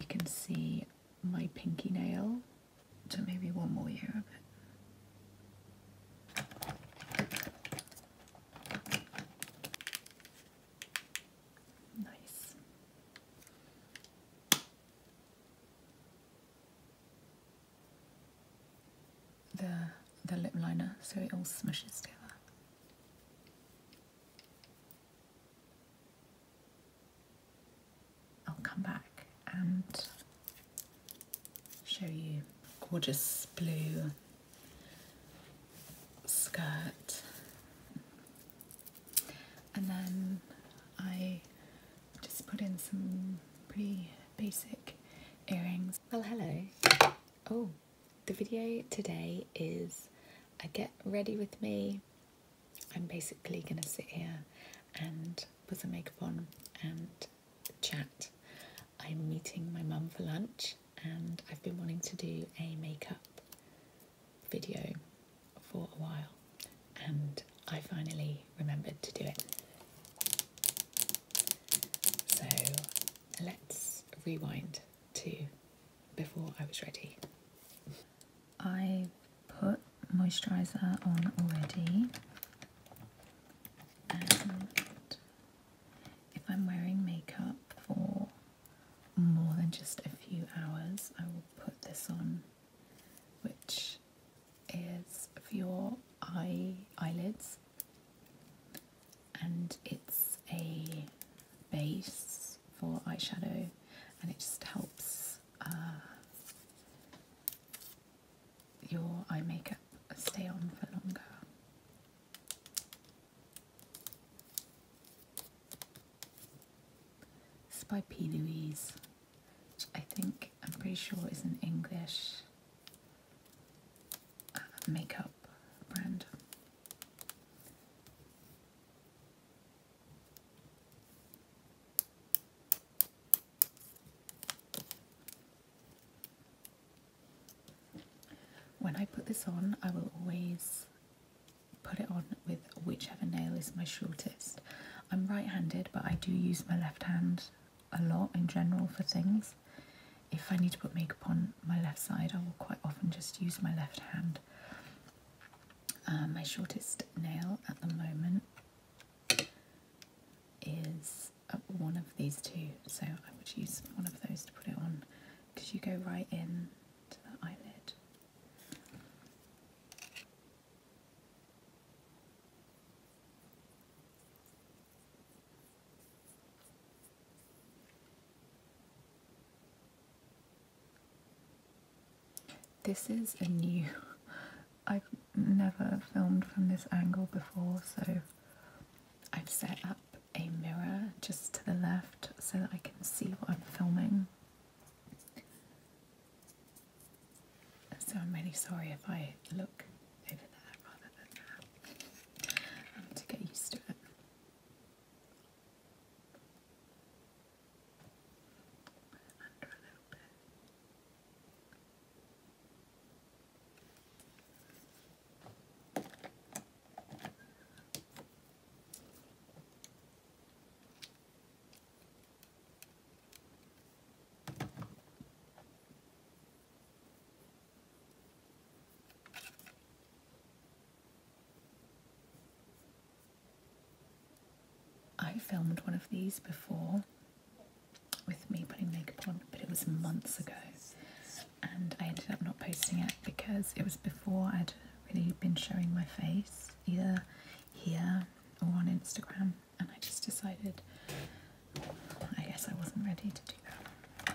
You can see my pinky nail, so maybe one more year of it. Nice the the lip liner so it all smushes together. I'll come back and show you gorgeous blue skirt and then I just put in some pretty basic earrings well, oh, hello. Oh, the video today is a uh, get ready with me. I'm basically going to sit here and put some makeup on and chat. I'm meeting my mum for lunch and I've been wanting to do a makeup video for a while and I finally remembered to do it. So let's rewind to before I was ready. I put moisturiser on already and if I'm wearing makeup for more than just a few hours I will put this on which is Dior eye eyelids, and it's a base for eyeshadow, and it just helps uh, your eye makeup stay on for longer. This is by P. Louise, which I think I'm pretty sure is an English uh, makeup brand. When I put this on, I will always put it on with whichever nail is my shortest. I'm right handed, but I do use my left hand a lot in general for things. If I need to put makeup on my left side, I will quite often just use my left hand. Uh, my shortest nail at the moment is uh, one of these two, so I would use one of those to put it on because you go right in to the eyelid. This is a new, I've never filmed from this angle before, so I've set up a mirror just to the left so that I can see what I'm filming. So I'm really sorry if I look over there rather than that um, to get used to it. I filmed one of these before with me putting makeup on, but it was months ago, and I ended up not posting it because it was before I'd really been showing my face either here or on Instagram and I just decided oh, I guess I wasn't ready to do that.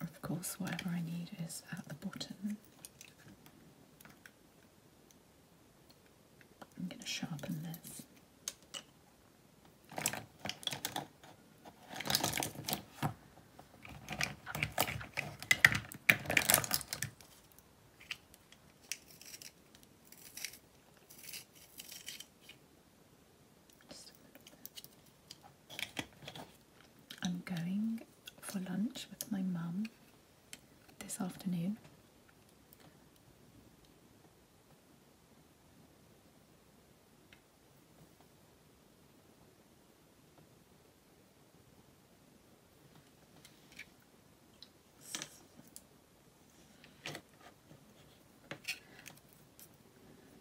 Of course, whatever I need is at the bottom. I'm going to sharpen this. I'm going for lunch with my mum this afternoon.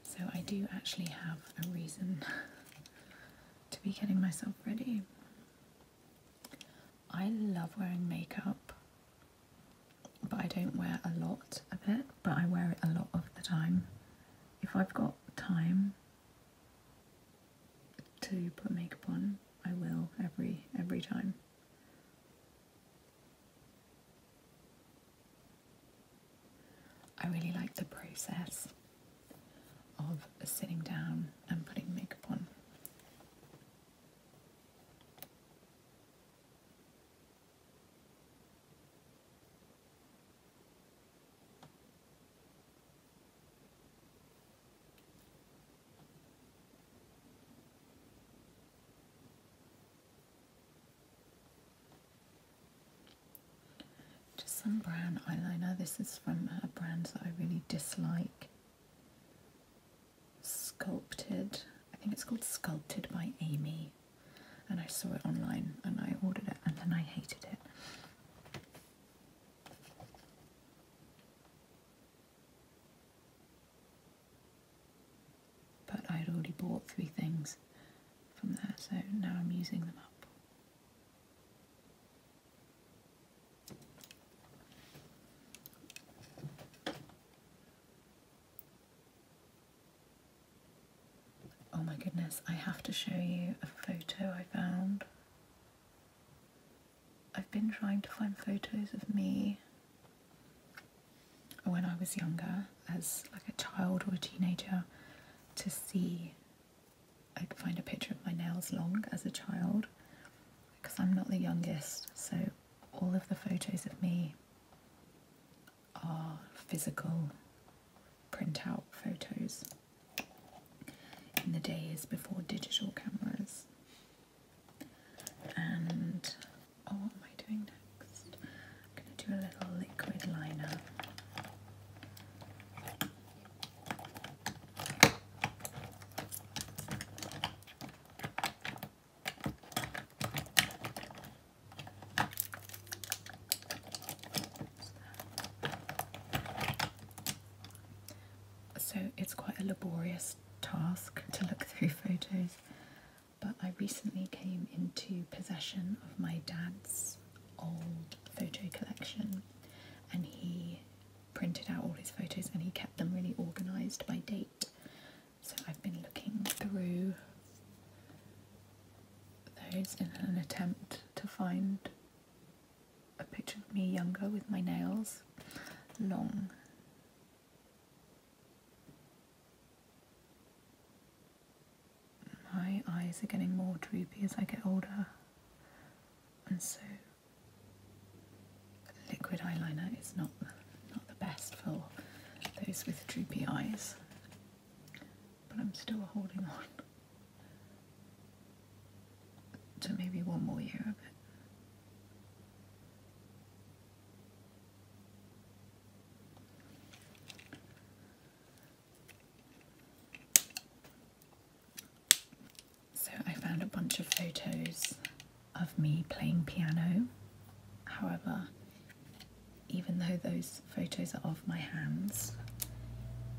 So I do actually have a reason to be getting myself ready. I love wearing makeup, but I don't wear a lot of it, but I wear it a lot of the time. If I've got time to put makeup on, I will every every time. I really like the process of sitting down and putting makeup on. Just some brown eyeliner. This is from a brand that I really dislike. Sculpted. I think it's called Sculpted by Amy. And I saw it online and I ordered it and then I hated it. But I had already bought three things from there, so now I'm using them up. Oh my goodness, I have to show you a photo I found. I've been trying to find photos of me when I was younger, as like a child or a teenager, to see. I could find a picture of my nails long as a child because I'm not the youngest, so all of the photos of me are physical printout photos in the days before digital cameras. And oh what am I doing next? I'm going to do a little liquid liner. So it's quite a laborious task to look through photos but I recently came into possession of my dad's old photo collection and he printed out all his photos and he kept them really organised by date. So I've been looking through those in an attempt to find a picture of me younger with my nails long my eyes are getting more droopy as I get older, and so liquid eyeliner is not the, not the best for those with droopy eyes. But I'm still holding on to maybe one more year of it. So I found a bunch of photos of me playing piano. However, even though those photos are of my hands,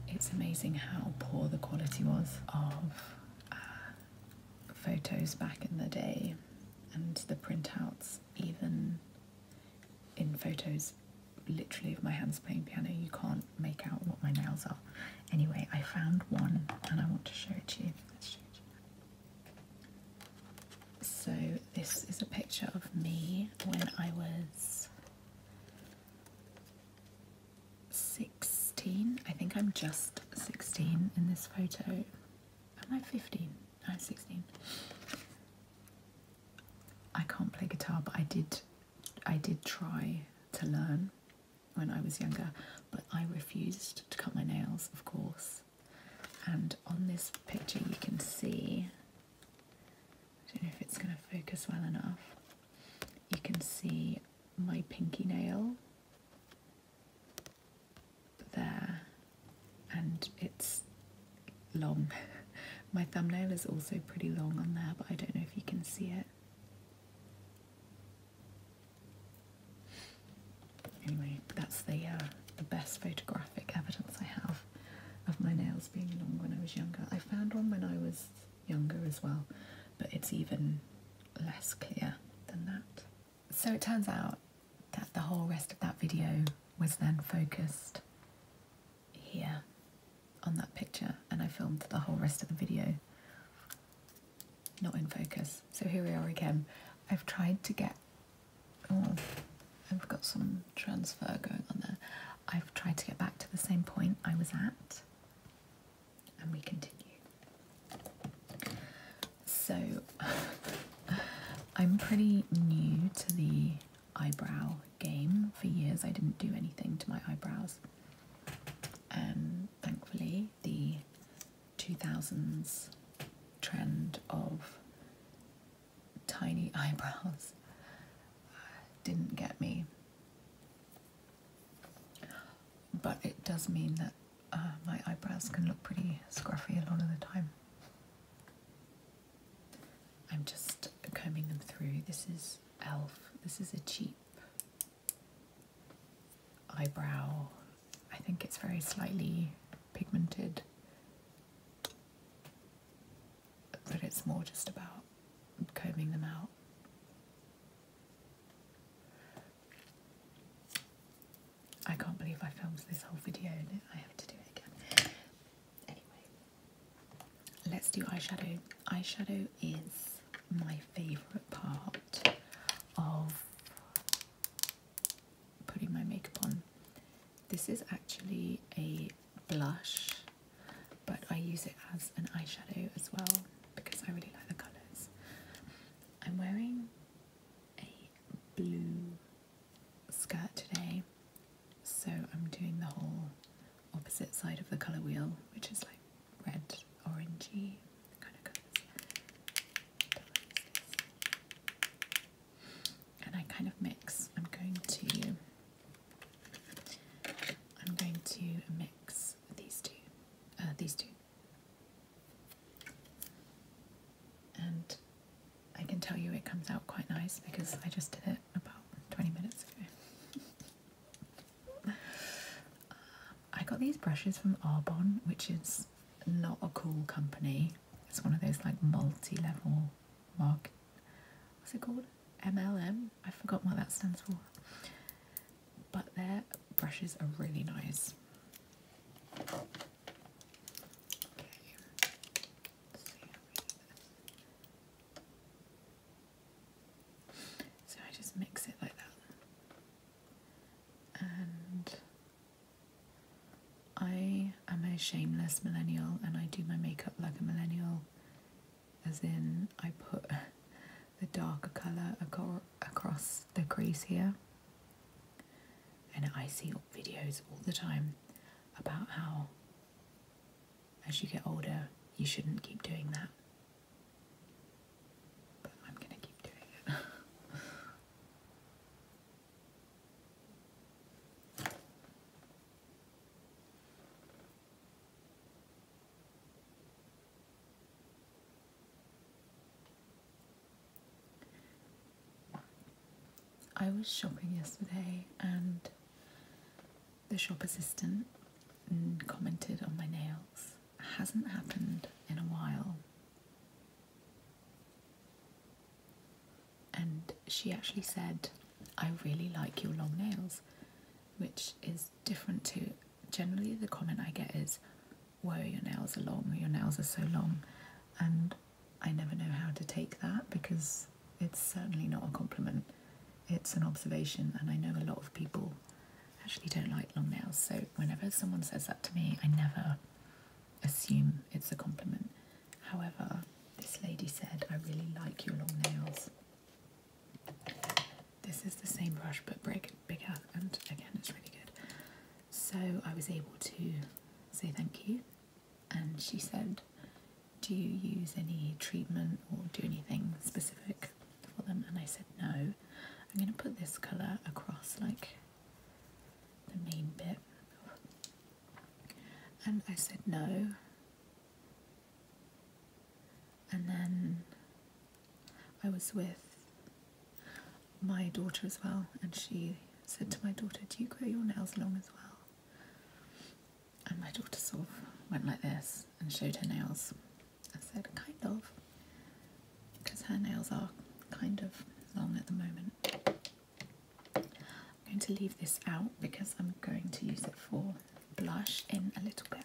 it's amazing how poor the quality was of uh, photos back in the day and the printouts, even in photos literally of my hands playing piano, you can't make out what my nails are. Anyway, I found one and I want to show it to you. Let's show you. So, this is a picture of me when I was 16. I think I'm just 16 in this photo. Am I 15? I'm 16. I can't play guitar, but I did. I did try to learn when I was younger, but I refused to cut my nails, of course. And on this picture, you can see. I don't know if it's going to focus well enough. You can see my pinky nail there and it's long. My thumbnail is also pretty long on there, but I don't know if you can see it. Anyway, that's the uh, the best photographic evidence I have of my nails being long when I was younger. I found one when I was younger as well, but it's even less clear than that. So it turns out that the whole rest of that video was then focused here on that picture and I filmed the whole rest of the video not in focus. So here we are again. I've tried to get, oh, I've got some transfer going on there. I've tried to get back to the same point I was at and we continue. So I'm pretty new to the eyebrow game. For years I didn't do anything to my eyebrows. and thankfully, the 2000s trend of tiny eyebrows uh, didn't get me. But it does mean that uh, my eyebrows can look pretty scruffy a lot of the time. I'm just combing them through. This is e.l.f. This is a cheap eyebrow. I think it's very slightly pigmented, but it's more just about combing them out. I can't believe I filmed this whole video and I have to do it again. Anyway, let's do eyeshadow. Eyeshadow is my favourite part of putting my makeup on. This is actually a blush, but I use it as an eyeshadow as well because I really like the colours. I'm wearing a blue skirt today, so I'm doing the whole opposite side of the colour wheel, which is like red, orangey kind of colours. And I kind of mix. I'm going to I'm going to mix these two. Uh, these two. And I can tell you it comes out quite nice because I just did it about 20 minutes ago. I got these brushes from Arbonne, which is not a cool company. It's one of those like multi-level market. What's it called? MLM? I forgot what that stands for. But their brushes are really nice. So I just mix it like that. And I am a shameless millennial and I do my makeup like a millennial, as in I put the darker colour across the crease here and I see videos all the time about how, as you get older, you shouldn't keep doing that. But I'm going to keep doing it. I was shopping yesterday and the shop assistant commented on my nails. hasn't happened in a while. And she actually said, I really like your long nails, which is different to generally the comment I get is, whoa, your nails are long, your nails are so long. And I never know how to take that because it's certainly not a compliment. It's an observation, and I know a lot of people actually don't like long nails. So whenever someone says that to me, I never assume it's a compliment. However, this lady said, I really like your long nails. This is the same brush but break Bigger and again, it's really good. So I was able to say thank you, and she said, Do you use any treatment or do anything specific for them? And I said, No, I'm going to put this colour across like the main bit. And I said, No. And then I was with my daughter as well, and she said to my daughter, Do you grow your nails long as well? And my daughter sort of went like this and showed her nails. and said, Kind of, because her nails are kind of long at the moment. I'm going to leave this out because I'm going to use it for blush in a little bit.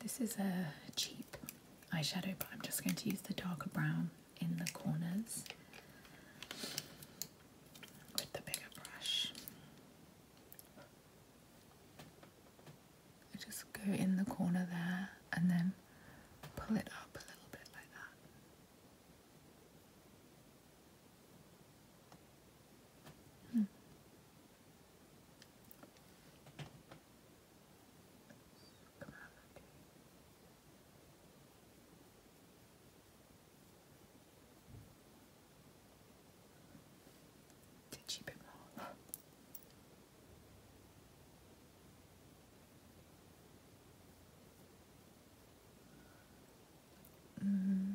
This is a cheap eyeshadow, but I'm just going to use the darker brown in the corners with the bigger brush. just go in the corner there and then pull it up a little bit like that. Hmm. Did she bit more? mm.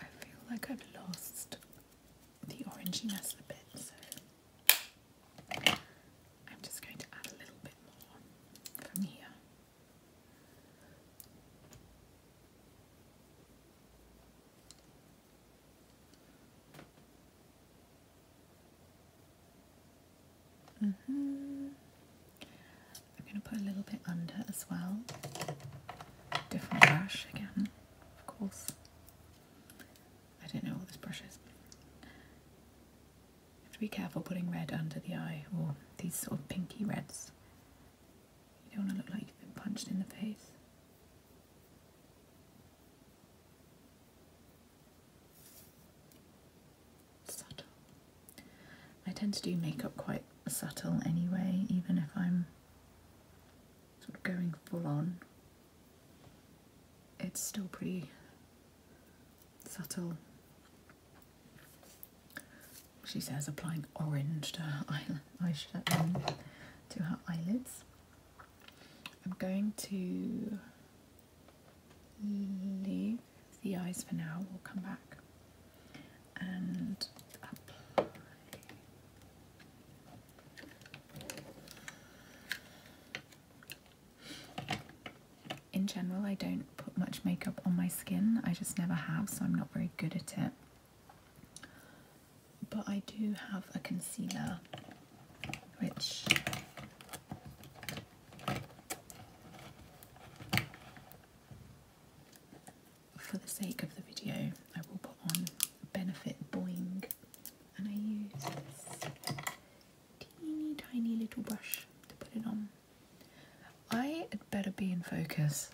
I feel like I've lost the oranginess a bit, I'm just going to add a little bit more from here. Mm-hmm. I'm going to put a little bit under as well. Different brush again, of course. I don't know what this brush is. You have to be careful putting red under the eye or these sort of pinky reds. You don't want to look like you've been punched in the face. Subtle. I tend to do makeup quite subtle anyway, even if I'm sort of going full on it's still pretty subtle. She says applying orange um, to her eyelids. I'm going to leave the eyes for now. We'll come back and apply in general, I don't put much makeup on my skin, I just never have, so I'm not very good at it. But I do have a concealer which for the sake of the video, I will put on Benefit Boing and I use teeny tiny little brush to put it on. I had better be in focus.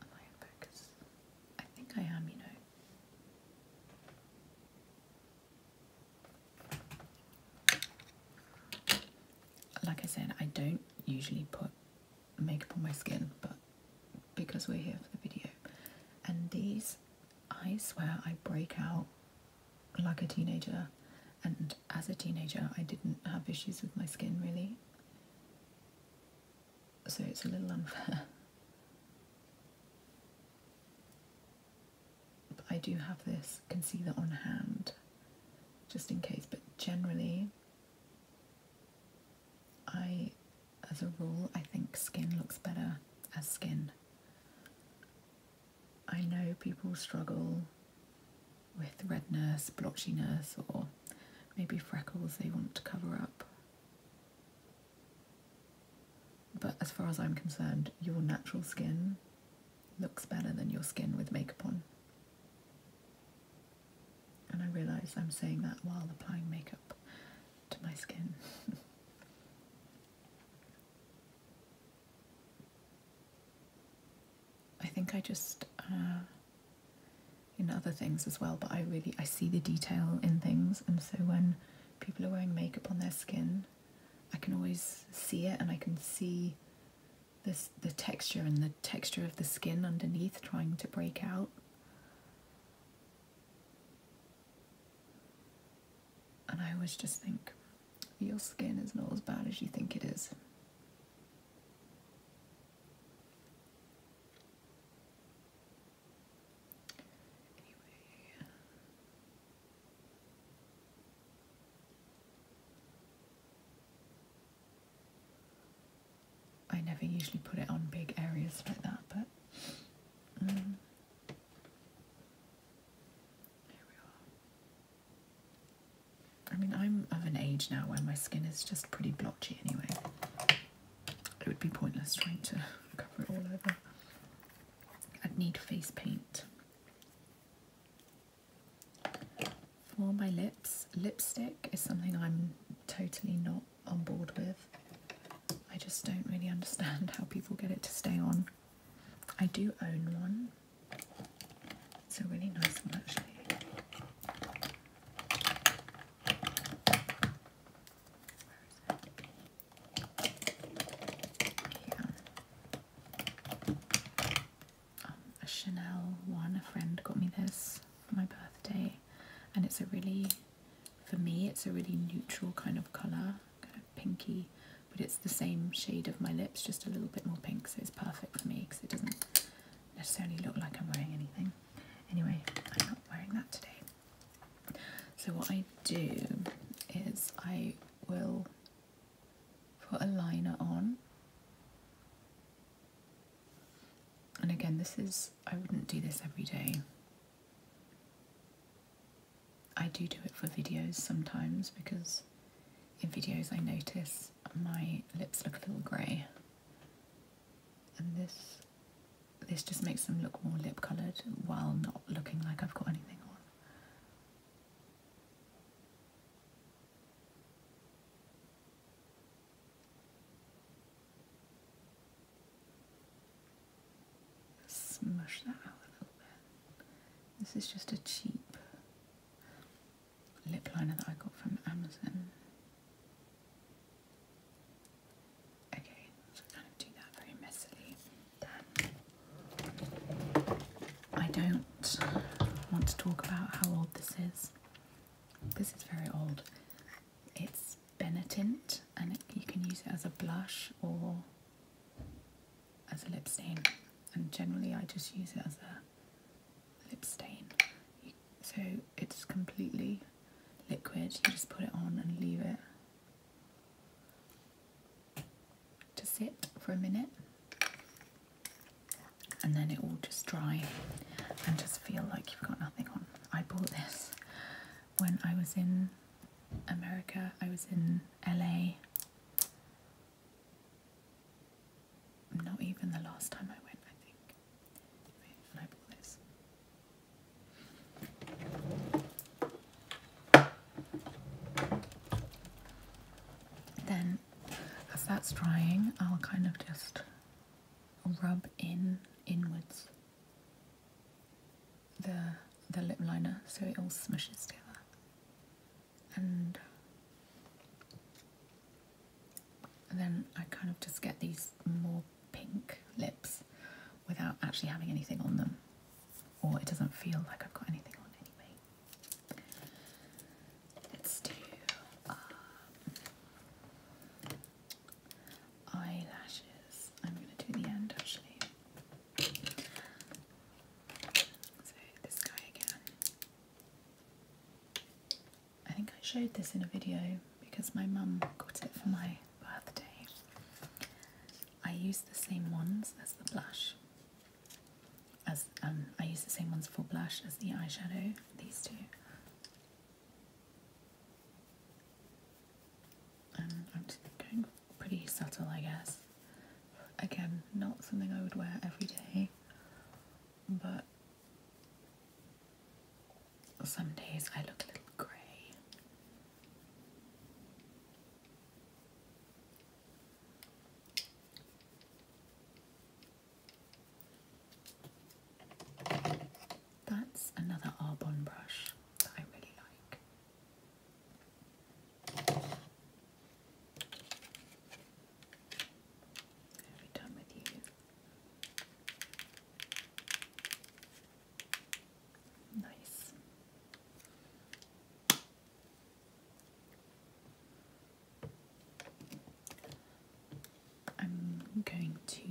I in focus? I think I am, you know. Like I said, I don't usually put makeup on my skin, but because we're here for the video. And these I swear I break out like a teenager, and as a teenager, I didn't have issues with my skin really. So it's a little unfair. But I do have this concealer on hand just in case, but generally, I as a rule, I think skin looks better as skin. I know people struggle with redness, blotchiness, or maybe freckles they want to cover up. But as far as I'm concerned, your natural skin looks better than your skin with makeup on. And I realise I'm saying that while applying makeup to my skin. I think I just, uh, in other things as well, but I really, I see the detail in things and so when people are wearing makeup on their skin, I can always see it and I can see this, the texture and the texture of the skin underneath trying to break out. And I always just think, your skin is not as bad as you think it is. I never usually put it on big areas like that, but mm. I mean, I'm of an age now where my skin is just pretty blotchy anyway. It would be pointless trying to cover it all over. I'd need face paint. For my lips, lipstick is something I'm totally not on board with. I just don't really understand how people get it to stay on. I do own one. It's a really nice one actually. Um, a Chanel one. A friend got me this for my birthday, and it's a really for me, it's a really neutral kind of colour, kind of pinky, but it's the same shade of my lips, just a little bit more pink, so it's perfect for me because it doesn't necessarily look like I'm wearing anything. Anyway, I'm not wearing that today. So what I do is I will put a liner on. And again, this is, I wouldn't do this every day. I do do it for videos sometimes because in videos I notice my lips look a little grey and this this just makes them look more lip coloured while not looking like I've got anything on smush that out a little bit. This is just a cheap lip liner that I got from Amazon. Okay, kind of do that very messily. Then I don't want to talk about how old this is. This is very old. It's Benetint and you can use it as a blush or as a lip stain. And generally, I just use it as a lip stain. so it's completely liquid, you just put it on and leave it to sit for a minute and then it will just dry and just feel like you've got nothing on. I bought this when I was in America, I was in LA. Not even the last time I went, I think. Then, as that's drying, I'll kind of just rub in inwards the the lip liner so it all smashes together and then I kind of just get these more pink lips without actually having anything on them or it doesn't feel like I've got anything on anyway. Let's do um, eyelashes. I'm going to do the end actually. So, this guy again. I think I showed this in a video because my mum got it for my birthday. I use the same ones as the blush. As um, I use the same ones for blush as the eyeshadow, these two. Um, I'm just going pretty subtle, I guess. Again, not something I would wear every day, but some days I look a little grey. That's another Arbonne brush that I really like. I'll with you. Nice. I'm going to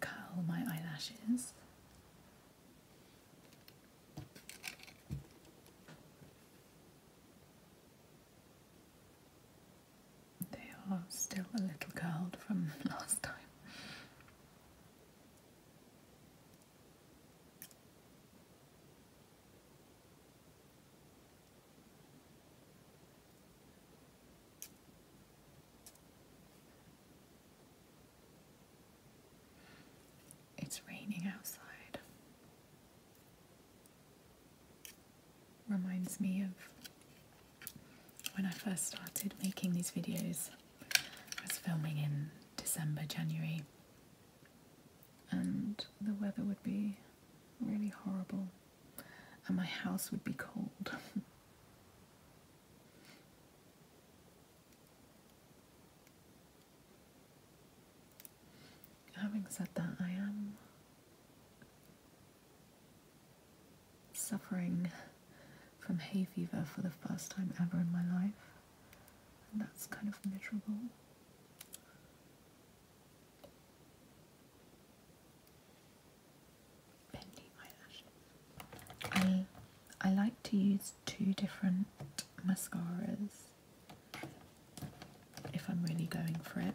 curl my eyelashes. They are still a little curled from last time. It's raining outside. Reminds me of when I first started making these videos. I was filming in December, January, and the weather would be really horrible, and my house would be cold. Having said that, I am suffering from hay fever for the first time ever in my life, and that's kind of miserable. I like to use two different mascaras if I'm really going for it.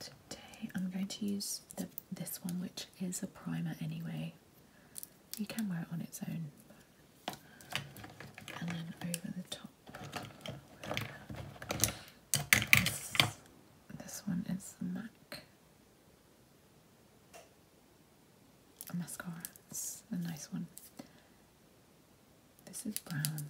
Today I'm going to use this one, which is a primer anyway. You can wear it on its own. And then over the this, one is the MAC a mascara. a nice one. This is brown.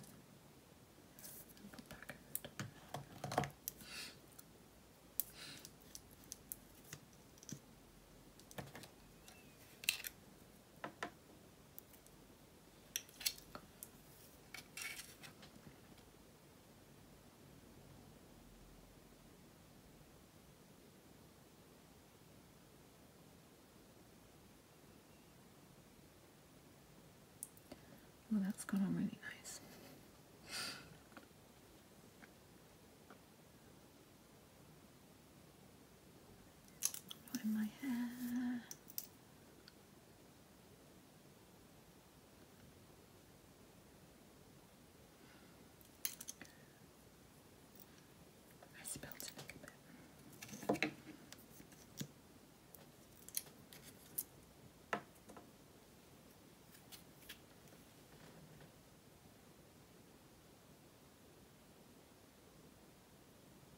Well, that's gone on really nice. Not in my hair. I spilled a bit.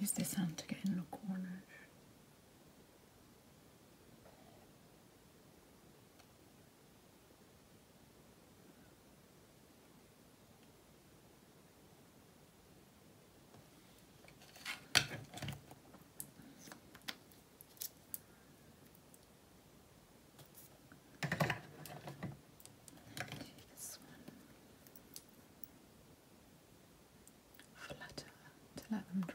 use this hand to get in the corner. Flutter to let them dry.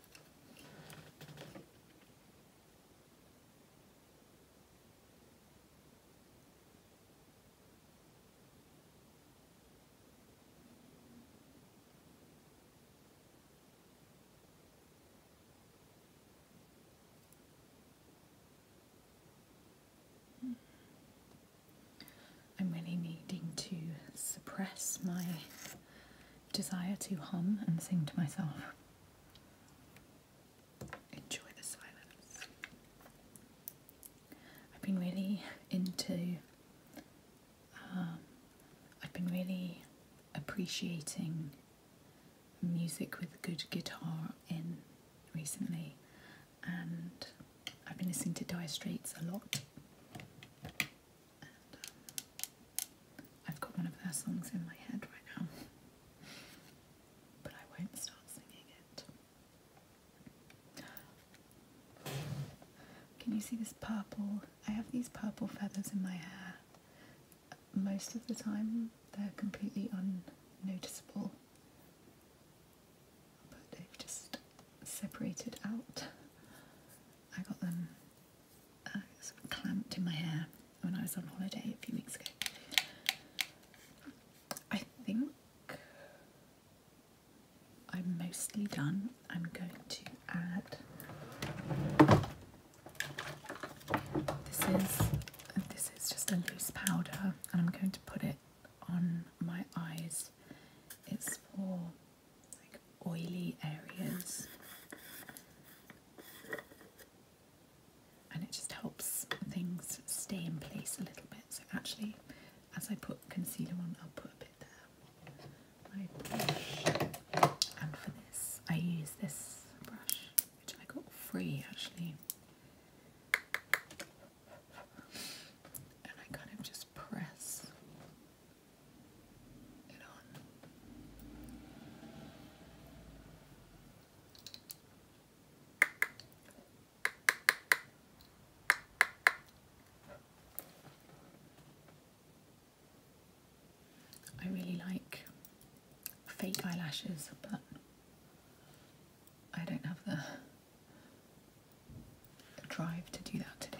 I'm really needing to suppress my desire to hum and sing to myself. Enjoy the silence. I've been really into, um, I've been really appreciating music with good guitar in recently, and I've been listening to Dire Straits a lot. Uh, I've got one of their songs in my head right now, but I won't start singing it. Can you see this purple? I have these purple feathers in my hair. Most of the time, they're completely unnoticeable, but they've just separated out. I got them clamped in my hair when I was on holiday a few weeks ago. I think I'm mostly done. I'm going to add this is this is just a loose powder and I'm going to put it on my eyes. It's for like oily areas, and it just helps things stay in place a little bit. So actually, as I put concealer on, I'll put a bit there. and for this, I use this brush, which I got free actually. And I kind of just press it on. I really like fake eyelashes, but I don't have the drive to do that today.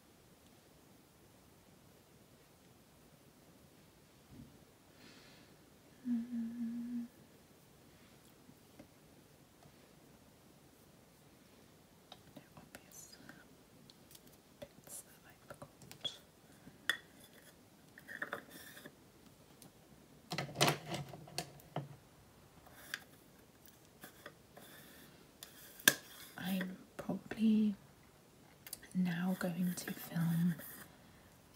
No obvious bits that I forgot. I'm probably now going to film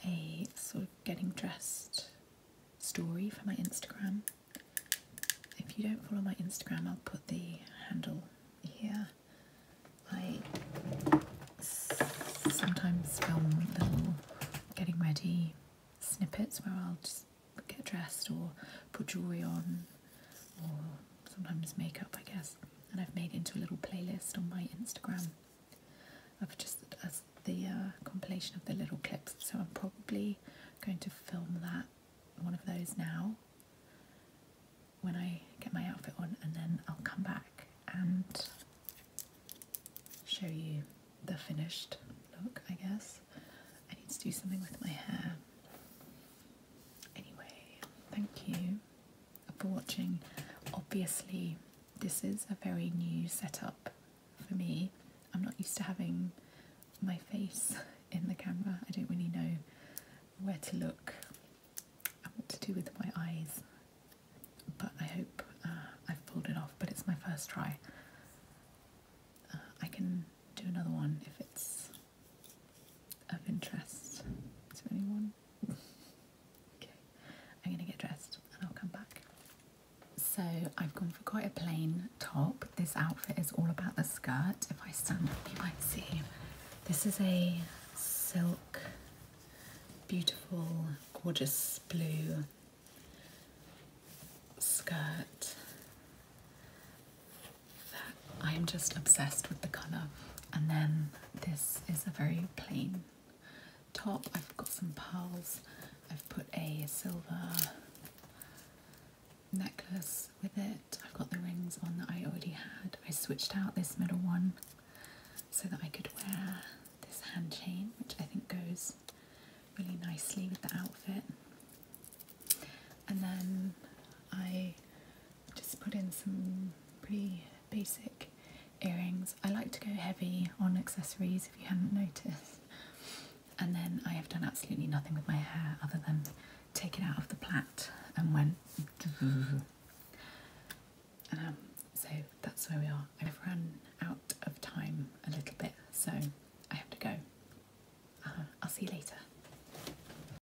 a sort of getting dressed story for my Instagram. If you don't follow my Instagram, I'll put the handle here. I sometimes film little getting ready snippets where I'll just get dressed or put jewellery on or sometimes makeup, I guess. And I've made into a little playlist on my Instagram of just the uh, compilation of the little clips. So I'm probably going to film that one of those now when I get my outfit on, and then I'll come back and show you the finished look, I guess. I need to do something with my hair. Anyway, thank you watching. Obviously, this is a very new setup for me. I'm not used to having my face in the camera. I don't really know where to look I want to do with my eyes. But I hope uh, I've pulled it off. But it's my first try. Uh, I can do another one if it's of interest to anyone. okay, I'm gonna get dressed and I'll come back. So I've gone for quite a plain top. This outfit is all about the skirt. If I stand up, you might see. This is a silk, beautiful, gorgeous blue skirt I am just obsessed with the colour. And then this is a very plain top. I've got some pearls. I've put a silver necklace with it. I've got the rings on that I already had. I switched out this middle one so that I could wear this hand chain, which I think goes really nicely with the outfit. And then I just put in some pretty basic earrings. I like to go heavy on accessories if you have not noticed. And then I have done absolutely nothing with my hair other than take it out of the plait and went. Um, so that's where we are. I've run out of time a little bit, so I have to go. Uh, I'll see you later.